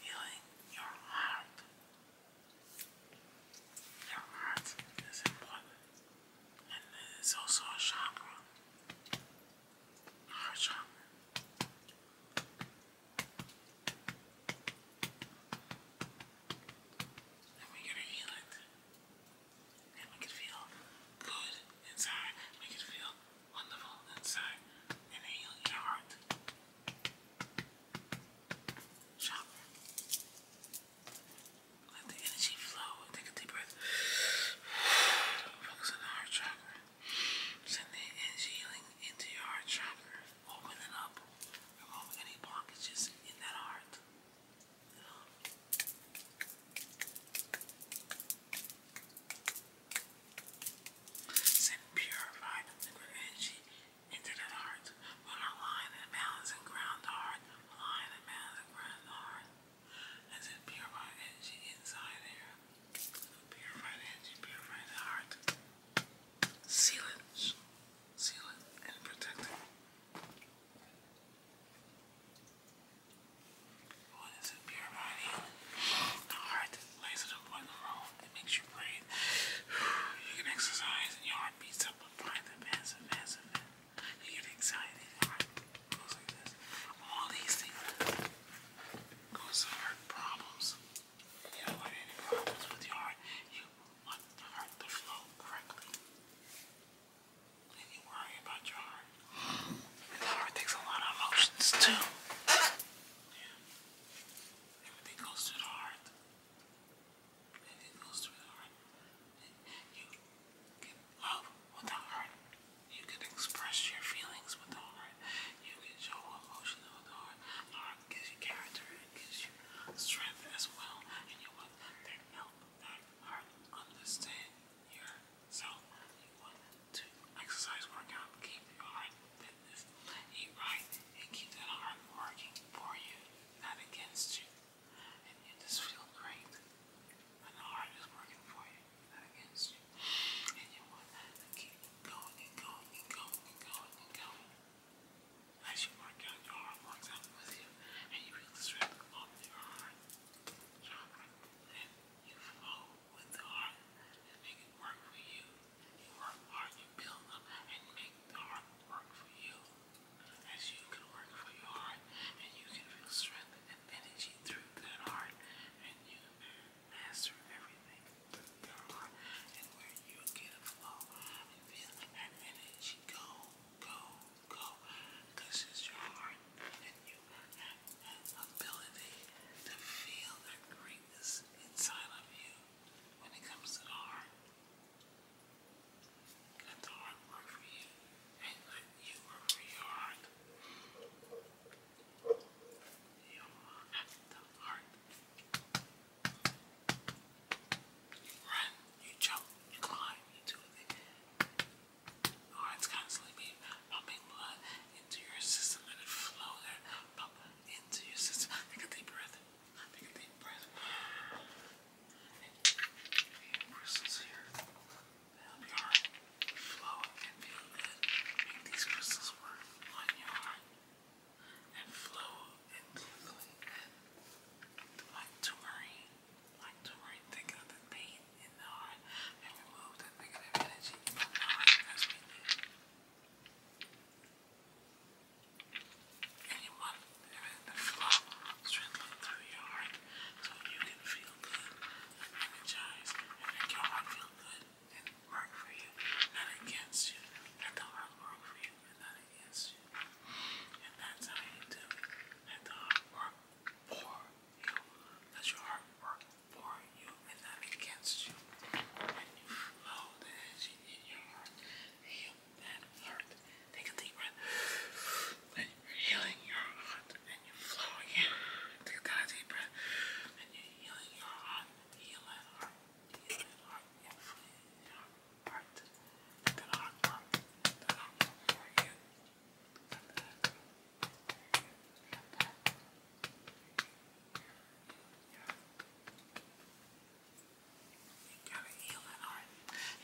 Healing your heart. Your heart is important. And it is also a chakra. Heart chakra. And we gotta heal it. And we can feel good inside. We can feel wonderful inside and heal your heart. Chakra. Let the energy flow. Take a deep breath. Focus on the heart chakra. Send the energy healing into your heart chakra. Open up. Remove any blockages in that heart. Send purified energy into that heart. Will align and balance and ground heart. Align and balance and ground heart. send purified energy inside there. Purified energy, purify heart. Seal it. Seal it and protect it. What is it? Pure body. The heart that lays at a point the road that makes you breathe. You can exercise and your heart beats up with pride that massive, massive. You get anxiety, your heart goes like this. All these things goes to heart problems. You don't want any problems with your heart. You want the heart to flow correctly. And you worry about your heart. And the heart takes a lot of emotions too. Everything goes through the heart. Everything goes through the heart. You can love with heart. You can express your feelings with the heart. You can show emotion with the heart. heart gives you character and gives you strength as well. And you want help that heart understand your so, you want exercise, work keep your heart fitness, eat right, and keep that heart working for you, not against you. And you just feel great when the heart is working for you, not against you. And you want to keep going and going and going and going and going. As you work out, your heart works out with you, and you feel the strength of your heart chakra, and you flow with the heart and make it work for you. You work hard, you build up and make the heart work for you. As you can work for your heart and you can feel strength and energy through that heart and you master everything your heart and where you get a flow and feel that energy go, go, go. This your heart and you have ability to feel that greatness inside of you when it comes to heart. Let the heart work for you and let you work for your heart. You run, you jump, you climb, you do or it's constantly pumping blood into your system, let it flow, let pump into your system. Take a deep breath. Take a deep breath. And crystals here help your flow and feel these crystals work on your and flow and tingling and like to like to marine, think of the pain in the heart and remove negative energy from the heart as And you want the flow through your heart so you can feel good and and make your heart feel good and work for you, not against you. Let the heart work for you not against you. And that's how you do Let the heart work for you. Let your heart work for you and not against you. When you flow the energy in your heart, heal that heart. Take a deep breath. When you're healing your heart and you flow again, take a deep breath. When you're healing your heart, heal heart, heal that heart, and free your heart. That heart, that heart, you gotta heal that arm.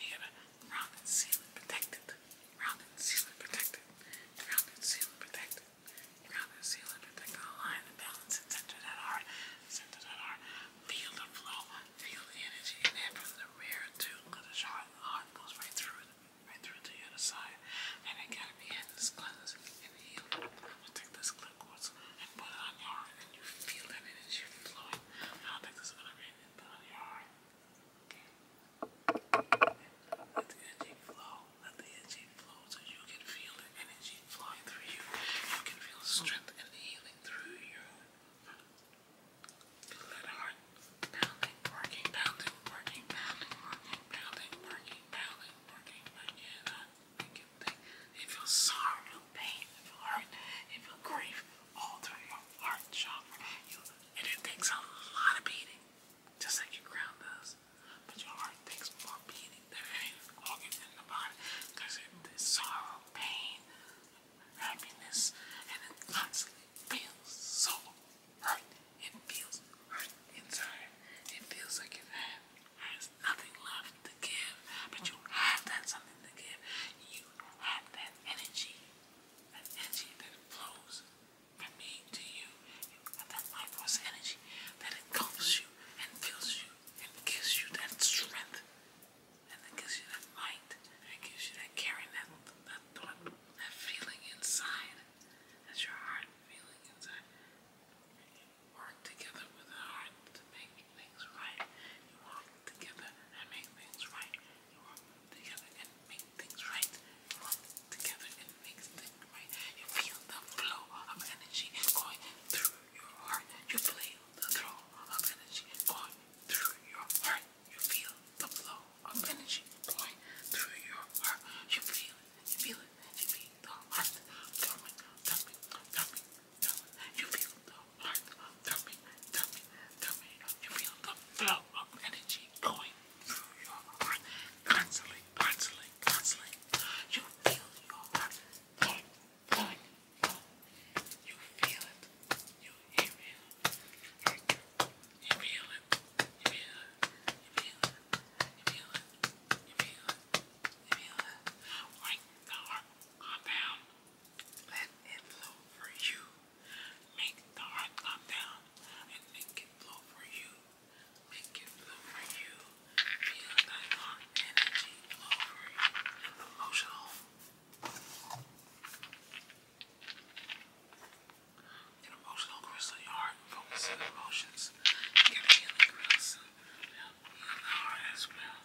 You gotta round and seal and protect it. Round and seal and protect it. Round and seal and protect it. Round and seal and protect that heart. Center that heart. Feel the flow. Feel the energy. And from the rear too, because the heart goes right through it right through the other side. And I gotta be in this cleanse and heal. i take this clip quartz and put it on your heart, and you feel that energy flowing. I'll take this other end and put it on your heart. Okay? Let the energy flow. Let the energy flow so you can feel the energy flowing through you. You can feel the strength and healing through you. Let heart pounding, working, pounding, working, pounding, working, pounding, working, pounding, working. I it think. You feel sorrow, you pain, you feel hurt, you feel grief all through your heart chakra. You, and it takes a lot of beating, just like your ground does. But your heart takes more beating than anything organ in the body because it's sorrow, pain, happiness, and it constantly feels so hurt. It feels hurt inside. It feels like you have has nothing left to give, but you have that something to give. You have that energy, that energy that flows from me to you. You that life force energy that engulfs you and fills you and gives you that strength. And that gives you that light, and gives you that caring, that, that thought that feeling inside. That's your heart feeling inside. Work together with the heart to make things right. You work together and make things right. You work together and make things right. You work together and make things right. You feel the flow of energy going through your heart. You feel the flow of energy going through your heart. You feel the flow of energy going through your heart. You feel it, you feel it, you feel the heart thumping, thumping, thumping, thumping. You feel the heart thumping, thumping, thumping. You feel the flow of energy going through your heart constantly, constantly, constantly. You feel your heart going, You feel it like the heart compound, let it flow for you. Make the heart come down and make it flow for you. Make it flow for you. Feel that heart energy flow for you. Emotional. An emotional crystal in your heart emotions. Get in the heart as well.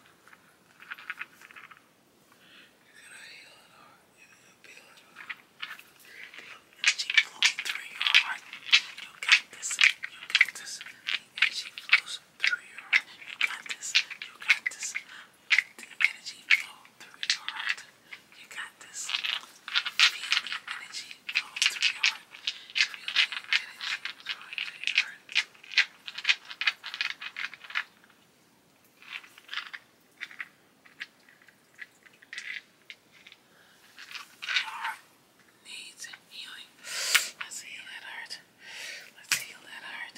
You're gonna heal it all. You're gonna feel it all. Feel energy flowing through your heart. You got this. You got this. You got this. You got this the energy flow through your heart. You got this. Feel the energy flow through your heart. Feel the energy flow through your heart. Your heart needs healing. Let's heal that heart. Let's heal that heart.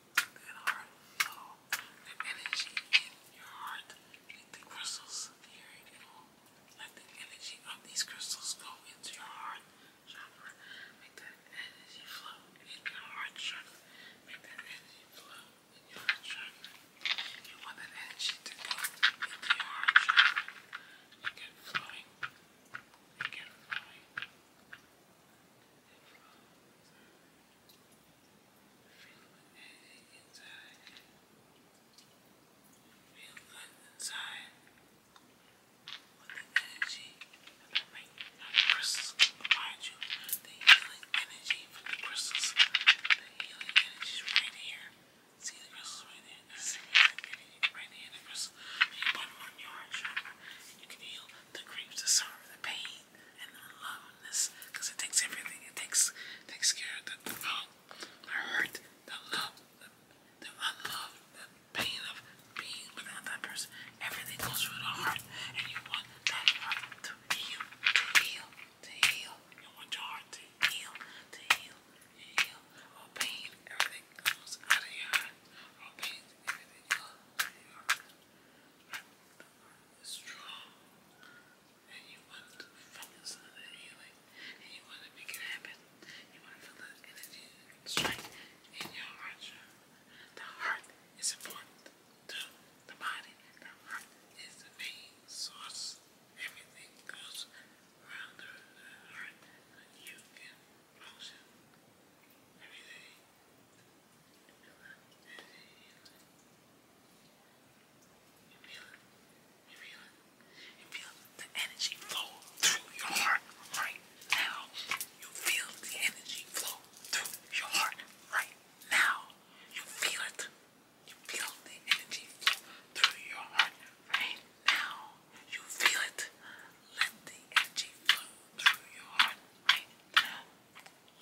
that The energy in your heart, like the crystals here, you let the energy of these crystals go into your heart Make that energy flow in your heart chakra. Make that energy flow in your heart chakra. You want that energy to go into your heart chakra. flowing. Make flowing inside. Feel good inside. With the energy and the crystals behind you. The healing energy from the crystals. The healing energy is right here. See the crystals right there. This is energy right here. The crystals. You put them You can heal the grapes, the sorrow, the pain and loveness because it takes everything. It takes takes care of the, the the hurt, the love, the, unlove, the pain of being without that person. Everything goes through the heart, and you want that heart to heal, to heal, to heal. You want your heart to heal, to heal, to heal. All pain, everything goes out of your heart strong and you want to focus on healing and you want to make it happen. You want to feel the energy strength in your heart. The heart is important to the body. The heart is the main source. Everything goes around the heart. You can function every day. You feel it. You feel it. You feel the energy flow through your heart right now. You feel the energy flow through your heart right now. You feel it. You feel the energy flow through your heart right now. You feel it. Let the energy flow through your heart right now.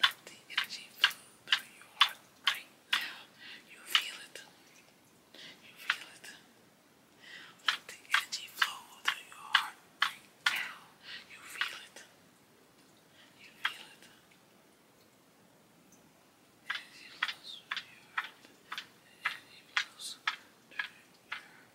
Let the energy flow through your heart right now. You feel it. You feel it. Let the energy flow through your heart right now. You feel it. You feel it. Energy flows through your heart. Energy flows through your heart.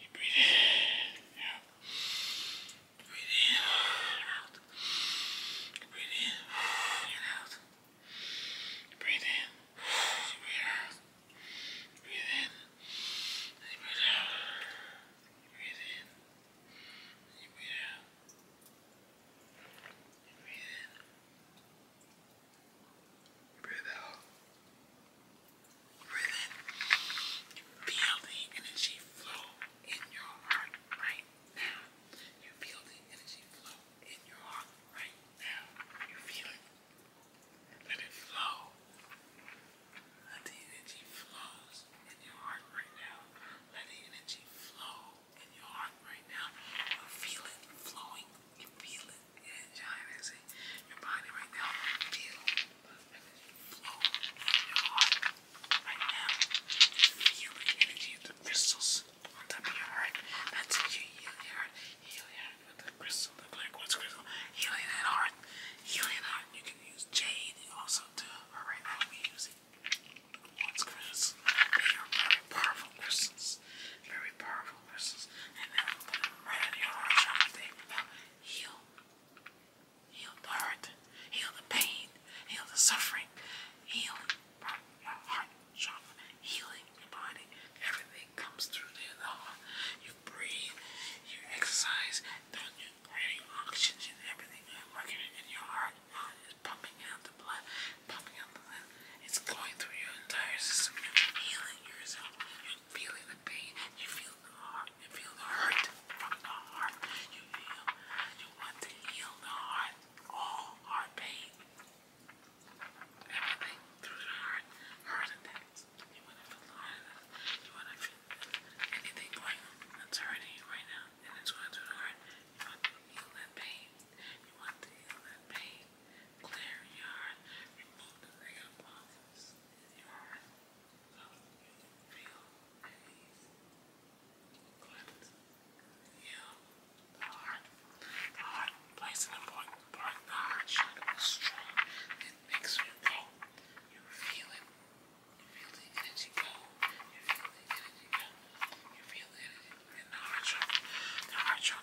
you breathe in, out. Breathe in, out. breathe in, out. breathe in, out. breathe in, out. breathe in, out. breathe in. out. breathe in. out. breathe in Breathe out. Breathe in. Feel the energy flow in your heart right now. You feel the energy flow in your heart right now. You feel it. Let it flow. Let the energy flows in your heart right now. Let the energy flow in your heart right now. You feel it flowing. You feel it and John your body right now feel flow from your heart right now. Feel the energy the crystals on top of your heart. That's how you heart. Heal the crystal, the black quartz crystal. Healing that heart. Healing that heart. You can use jade also too. But right now we use it. The quartz crystals. very powerful crystals. Very powerful. And then I'm gonna right heal. Heal the hurt. Heal the pain. Heal the suffering. Heal your heart trauma. Healing your body. Everything comes through the heart. You breathe, you exercise, then you create oxygen, everything working in your heart. It's pumping out the blood popping up within. It's going through your entire system. You're feeling yourself. You're feeling the pain. You feel the heart. You feel the hurt from the heart. You feel you want to heal the heart. All heart pain. Everything through the heart. Heart attacks. You want to feel You want to feel anything going that's hurting you right now. And it's going through the heart. You want to heal that pain. You want to heal that pain clear yard, remove the layer boxes in yard, you feel at ease. Collect, heal the heart. The heart plays an important part the heart chakra. It's strong. It makes you go. You feel it. You feel the energy go. You feel the energy go. You feel the the heart The heart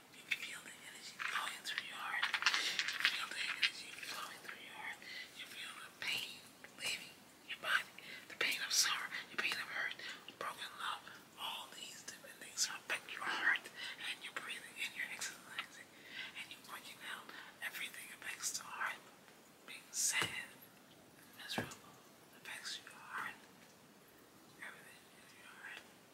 You feel the energy flowing through your heart. You feel the energy flowing through your heart. You feel the pain leaving your body. The pain of sorrow, the pain of hurt, broken love. All these different things affect your heart and your breathing and your exercising and you working out. Everything affects the heart. Being sad, miserable affects your heart. Everything in your heart.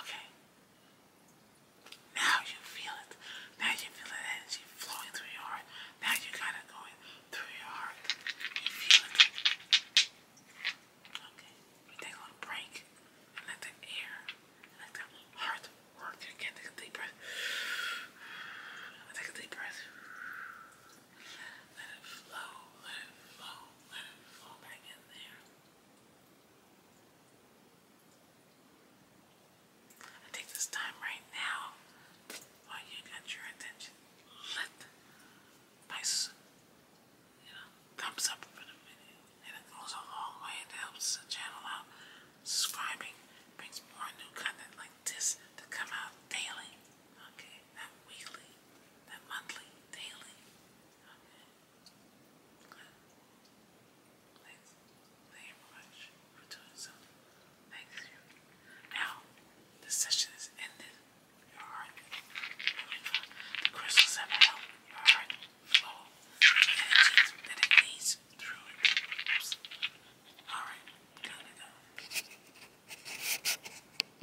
Okay. Now you feel it. Now you feel that energy flowing through your heart. Now you got it going through your heart. You feel it. Okay. We take a little break and let the air, let the heart work again. Take a deep breath. Take a deep breath. Let it flow. Let it flow let take this time right now, while you got your attention, let my you know, thumbs up for the video. it goes a long way. It helps the channel out. Subscribing brings more new content like this to come out daily. Okay not weekly, not monthly, daily. Okay. Good. Thanks. Thank you much for doing so. Thank you. Now, the session is ended. Your heart, the crystals have helped your heart flow the energy that it needs through it. Oops. All right, done it.